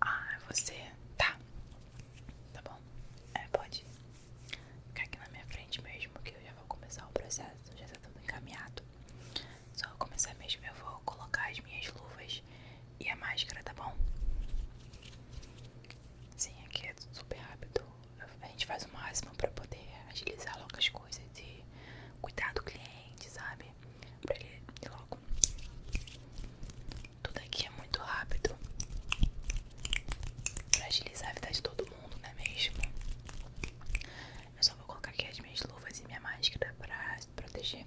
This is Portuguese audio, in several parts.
Ah, é você. Tá. Tá bom. É, pode ficar aqui na minha frente mesmo, que eu já vou começar o processo. Já tá tudo encaminhado. Só começar mesmo. Eu vou colocar as minhas luvas e a máscara, tá bom? Sim, aqui é super rápido. A gente faz o máximo pra poder agilizar logo as coisas e cuidar do cliente, sabe? pra ele ir logo. Tudo aqui é muito rápido pra agilizar a vida de todo mundo, não é mesmo? Eu só vou colocar aqui as minhas luvas e minha máscara pra se proteger.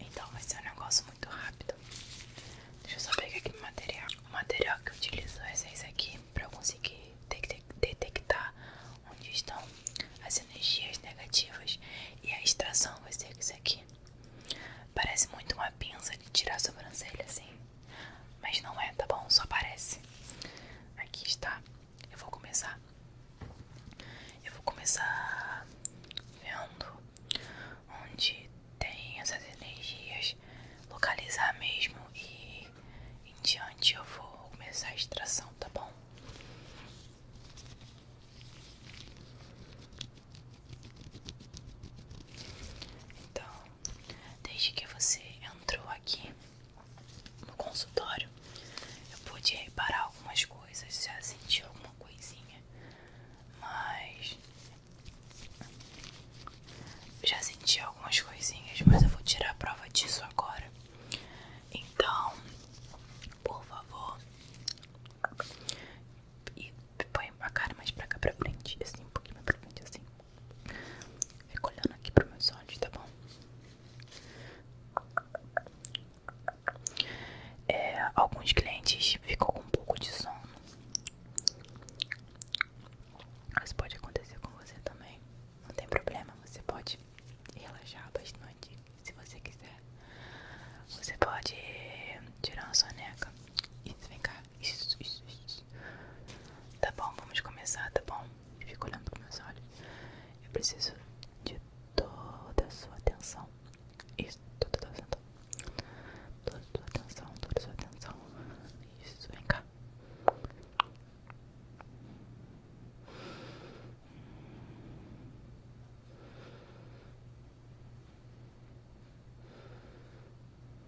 Então vai ser um negócio muito rápido. Deixa eu só pegar aqui o material. O material que eu utilizo é esse aqui para eu conseguir detectar onde estão as energias negativas e a extração vai ser isso aqui. Parece muito uma pinça de tirar a sobrancelha assim. Mas não é, tá bom? Só aparece. Aqui está. Eu vou começar. Eu vou começar vendo onde tem essas energias, localizar mesmo e em diante eu vou começar a extração, tá bom? Então, desde que você entrou aqui no consultório, eu pude reparar algumas coisas, já senti alguma coisinha, mas já senti algumas coisinhas, mas eu vou tirar a prova disso agora. Então, por favor, põe a cara mais pra cá pra frente, assim, um pouquinho mais pra frente, assim. Fico olhando aqui pros meus olhos, tá bom? É, alguns clientes ficam com um pouco de sono. Isso pode acontecer com você também. Não tem problema, você pode relaxar bastante se você quiser. Você pode tirar uma soneca. Isso, Isso, isso, isso. Tá bom, vamos começar, tá bom? Fica olhando para meus olhos. Eu preciso de toda a sua atenção. Isso, toda a sua atenção. Toda a sua atenção, toda a sua atenção. Isso, vem cá. Hum.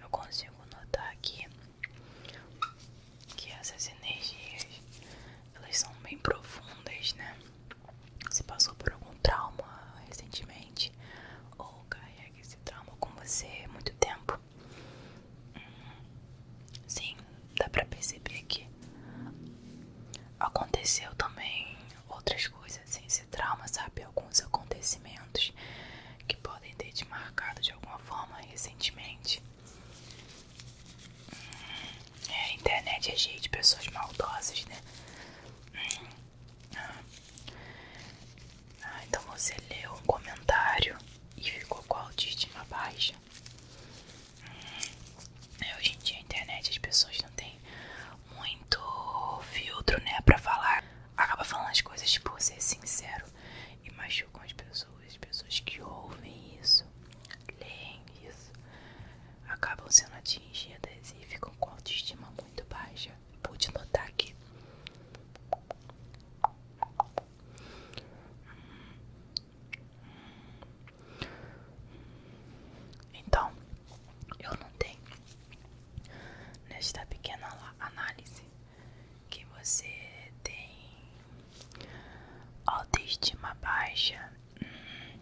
Eu consigo notar aqui que essas energias elas são bem profundas, né? Você passou por algum trauma recentemente ou carrega esse trauma com você é muito tempo. Sim, dá pra perceber que aconteceu também outras coisas assim, esse trauma, sabe? Alguns acontecimentos que podem ter te marcado de alguma forma recentemente. É, a internet é cheia pessoas maldosas, né? Ah, então você leu um comentário e ficou com a autoestima baixa. É, hoje em dia a internet as pessoas não têm muito filtro, né, pra falar. Acaba falando as coisas por tipo, ser sincero e machucam as pessoas, as pessoas que ouvem isso, leem isso, acabam sendo atingidas e ficam com autoestima muito baixa. Pude notar aqui. Então, eu não tenho nesta pequena análise que você tem autoestima baixa, hum,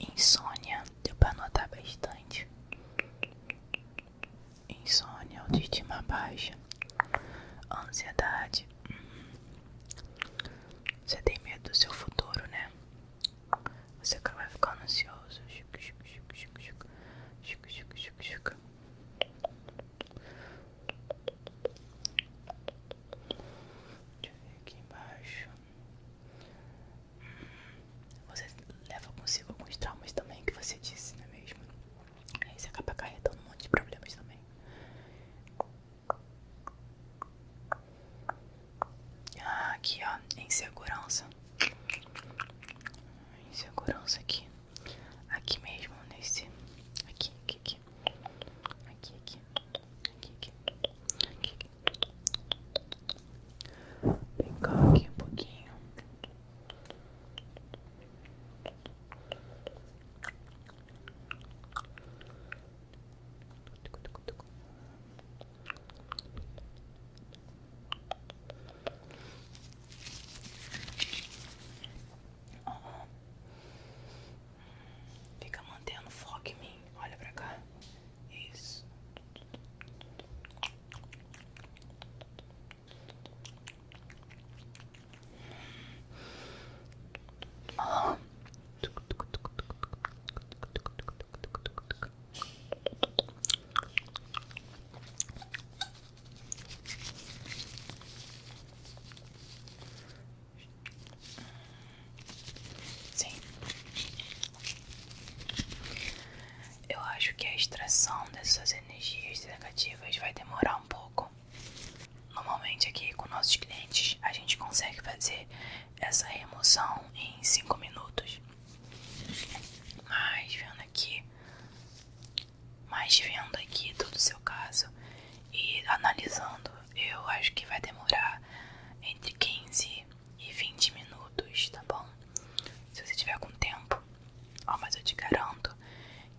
insônia, deu pra notar bastante insônia, autoestima baixa, ansiedade. Hum. Você tem medo do seu futuro, né? Você vai ficando ansioso. Deixa eu ver aqui embaixo. Hum. Você leva consigo alguns traumas também que você disse, não é mesmo? Aí você acaba acarretando um monte de problemas também. Ah, aqui ó, em segurança em segurança aqui. Aqui mesmo, nesse. Aqui, aqui, aqui. Aqui, aqui. Aqui, aqui. Aqui, aqui. Vem cá aqui um pouquinho. Fica mantendo foco em mim. Olha pra cá. Isso. Sim, eu acho que a extração dessas energias negativas vai demorar pouco. Normalmente aqui com nossos clientes a gente consegue fazer essa remoção em 5 minutos. Mas vendo aqui, mais vendo aqui todo o seu caso e analisando, eu acho que vai demorar entre 15 e 20 minutos, tá bom? Se você tiver com tempo, mas eu te garanto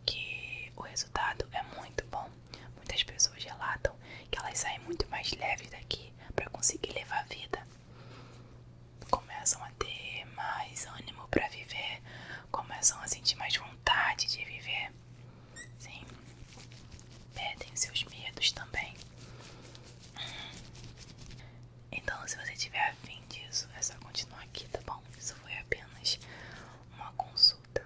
que o resultado é muito bom. Muitas pessoas relatam que elas saem muito mais leves daqui para conseguir levar a vida. Começam a ter mais ânimo para viver, começam a sentir mais vontade de viver. Sim. Perdem seus medos também. Então, se você tiver tiver afim disso, é só continuar aqui, tá bom? Isso foi apenas uma consulta.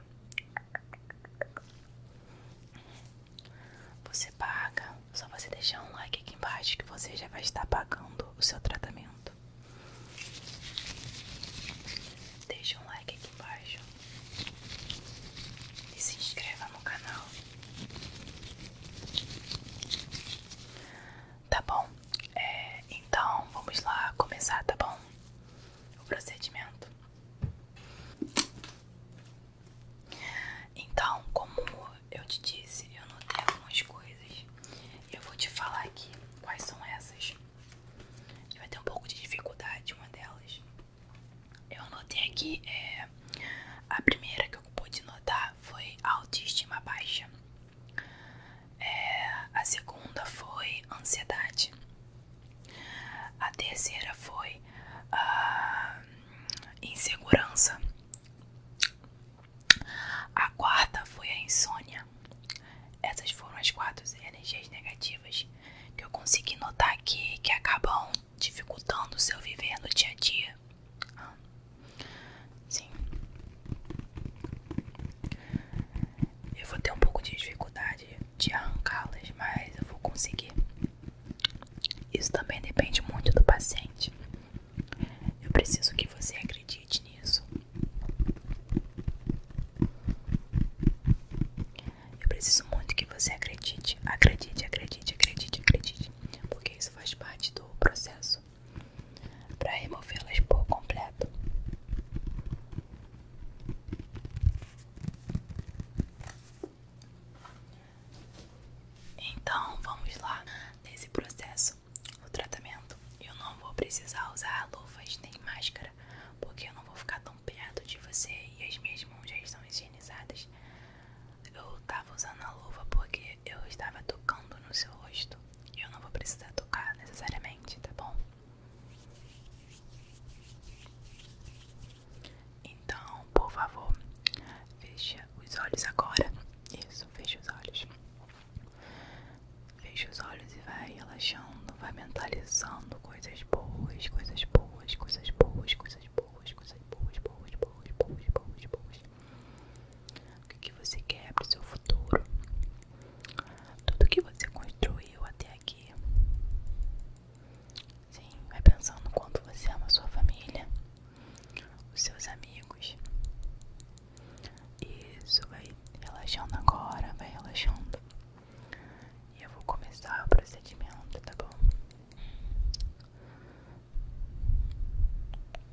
Você paga, só você deixar um like aqui embaixo que você já vai estar pagando o seu tratamento. Deixa um like aqui embaixo e se inscreva no canal tá bom? É, então vamos lá começar, tá bom? O procedimento. Então, como eu te disse, eu notei algumas coisas eu vou te falar aqui quais são essas. Você vai ter um pouco de dificuldade uma delas. Eu notei aqui, é, a primeira que eu pude notar foi autoestima baixa. É, a segunda foi ansiedade. A terceira foi a ah, insegurança. A quarta foi a insônia. Essas foram as quatro energias negativas que eu consegui notar aqui que acabam dificultando o seu viver no dia a dia. Sim. Eu vou ter um pouco de dificuldade de arrancá-las, mas eu vou conseguir. Isso também depende muito do paciente. Eu preciso que você acredite nisso. Eu preciso muito que você acredite. Acredite, acredite, acredite, acredite. Porque isso faz parte do processo para removê-las por completo. Então vamos lá nesse processo, o tratamento. Eu não vou precisar usar luvas nem máscara, porque eu não vou ficar tão perto de você e as minhas mãos já estão higienizadas. Eu estava usando a luva porque eu estava tocando no seu rosto eu não vou precisar tocar necessariamente, tá bom? Então, por favor, fecha os olhos agora. Isso, fecha os olhos. Fecha os olhos e vai relaxando, vai mentalizando coisas boas, coisas boas, coisas boas, coisas boas, coisas boas, boas, boas, boas, boas, boas. O que, você quer para o seu futuro? Tudo que você construiu até aqui. Sim, vai pensando no quanto você ama a sua família, os seus amigos. Isso, vai relaxando agora, vai relaxando. E eu vou começar o procedimento, tá bom?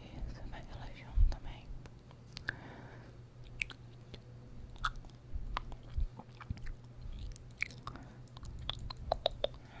Isso, vai relaxando também. Relaxa, relaxa,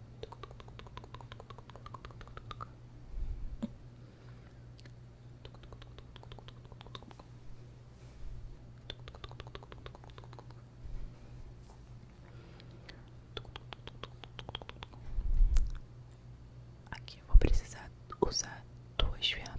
Aqui eu vou precisar usar duas ferramentas.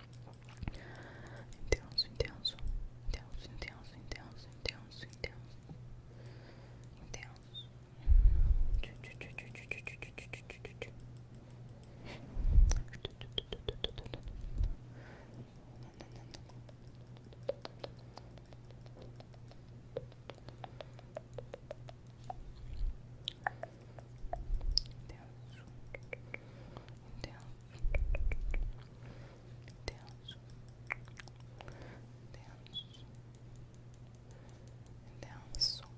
Intenso, intenso, intenso, intenso, intenso, intenso, intenso. Intenso. Intenso. down, down, down, down, and down, so down, so down, down, so down.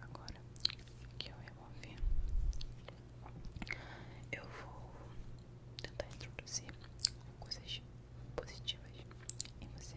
Agora que eu vou remover, eu vou tentar introduzir coisas positivas em você,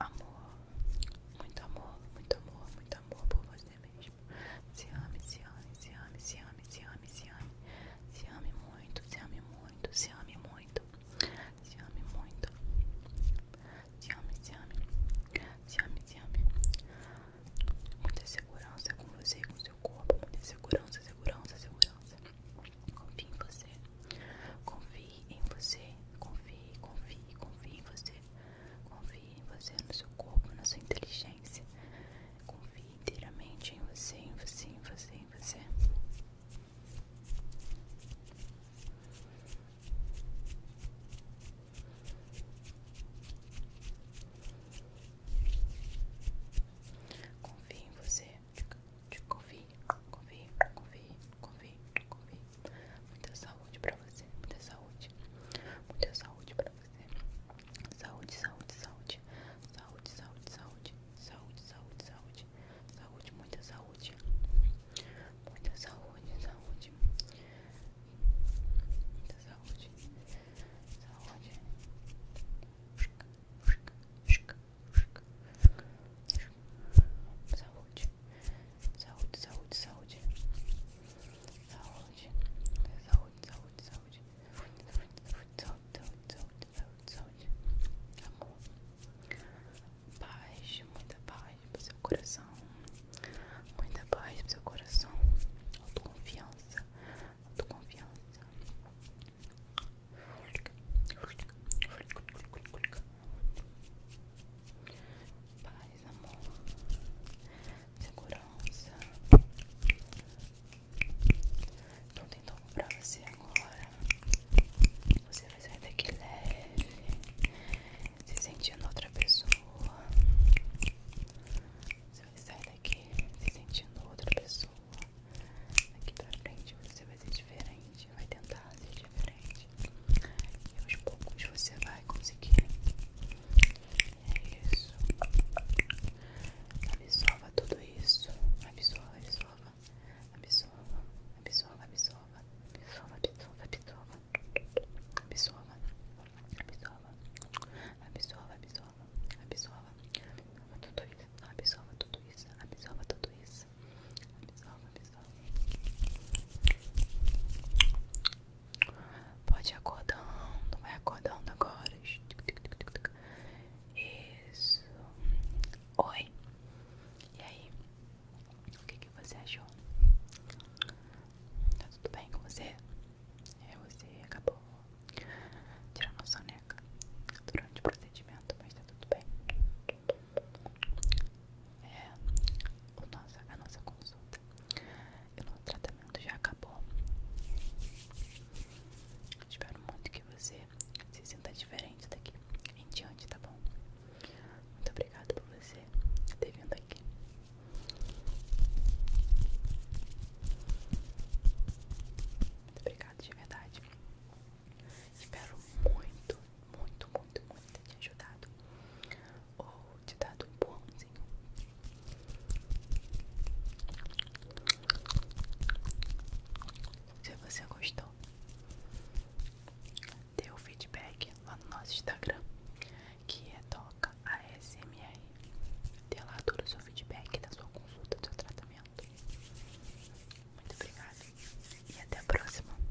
Amor, muito amor, muito amor, muito amor por você mesmo. Se ame, se ame, se ame, se ame, se ame, se ame. Se ame muito, se ame muito, se ame muito. Se ame muito. Se ame, se ame. Se ame, se ame. Muita segurança com você com seu corpo. Muita segurança, segurança, segurança. Confie em você. Confie em você. Confie, confie, confie em você. Confie em você, no seu corpo, na sua inteligência. Confie inteiramente em você, em você, em você, em você. Confie em você. Confie, confie, confie, confie, confie. Muita saúde pra você, muita saúde. Muita saúde pra você. Saúde, saúde, saúde. Saúde, saúde, saúde. Saúde, saúde, saúde. Saúde, muita saúde. Muita saúde, saúde. Muita saúde. Saúde. Saúde saúde, saúde, saúde, saúde, saúde, saúde, saúde, saúde, saúde, saúde, saúde, amor, paz, muita paz pro seu coração, muita paz pro seu coração, autoconfiança, autoconfiança paz, amor, segurança. Tô tentando pra você agora. Você vai sair daqui leve, se sentindo outra pessoa. Você vai sair daqui se sentindo outra pessoa. Daqui pra frente você vai ser diferente diferente, vai tentar ser diferente. E aos poucos você vai conseguir. É isso. Absorva tudo isso. Absorva, absorva. Absorva, absorva, absorva. Absorva, absorva, absorva. Absorva. Absorva. Absorva, absorva. tudo isso. Absorva tudo isso. Absorva tudo isso cabeça. Absorva, Pode ir acordando, vai acordando agora. Isso. Oi. E aí? O que, que você achou? Tá tudo bem com você? É, você acabou tirando a soneca durante o procedimento, mas tá tudo bem é, o nossa, a nossa consulta e o nosso tratamento já acabou. Espero muito que você se sinta diferente daqui em diante, tá bom? Muito obrigada por você ter vindo aqui. Muito obrigada de verdade. Espero muito muito, muito, muito te ajudado ou te dado um pãozinho. Se você gostou, dê o feedback lá no nosso Instagram, que é Toca ASMR. Dê lá todo o seu feedback da sua consulta, do seu tratamento. Muito obrigada e até a próxima.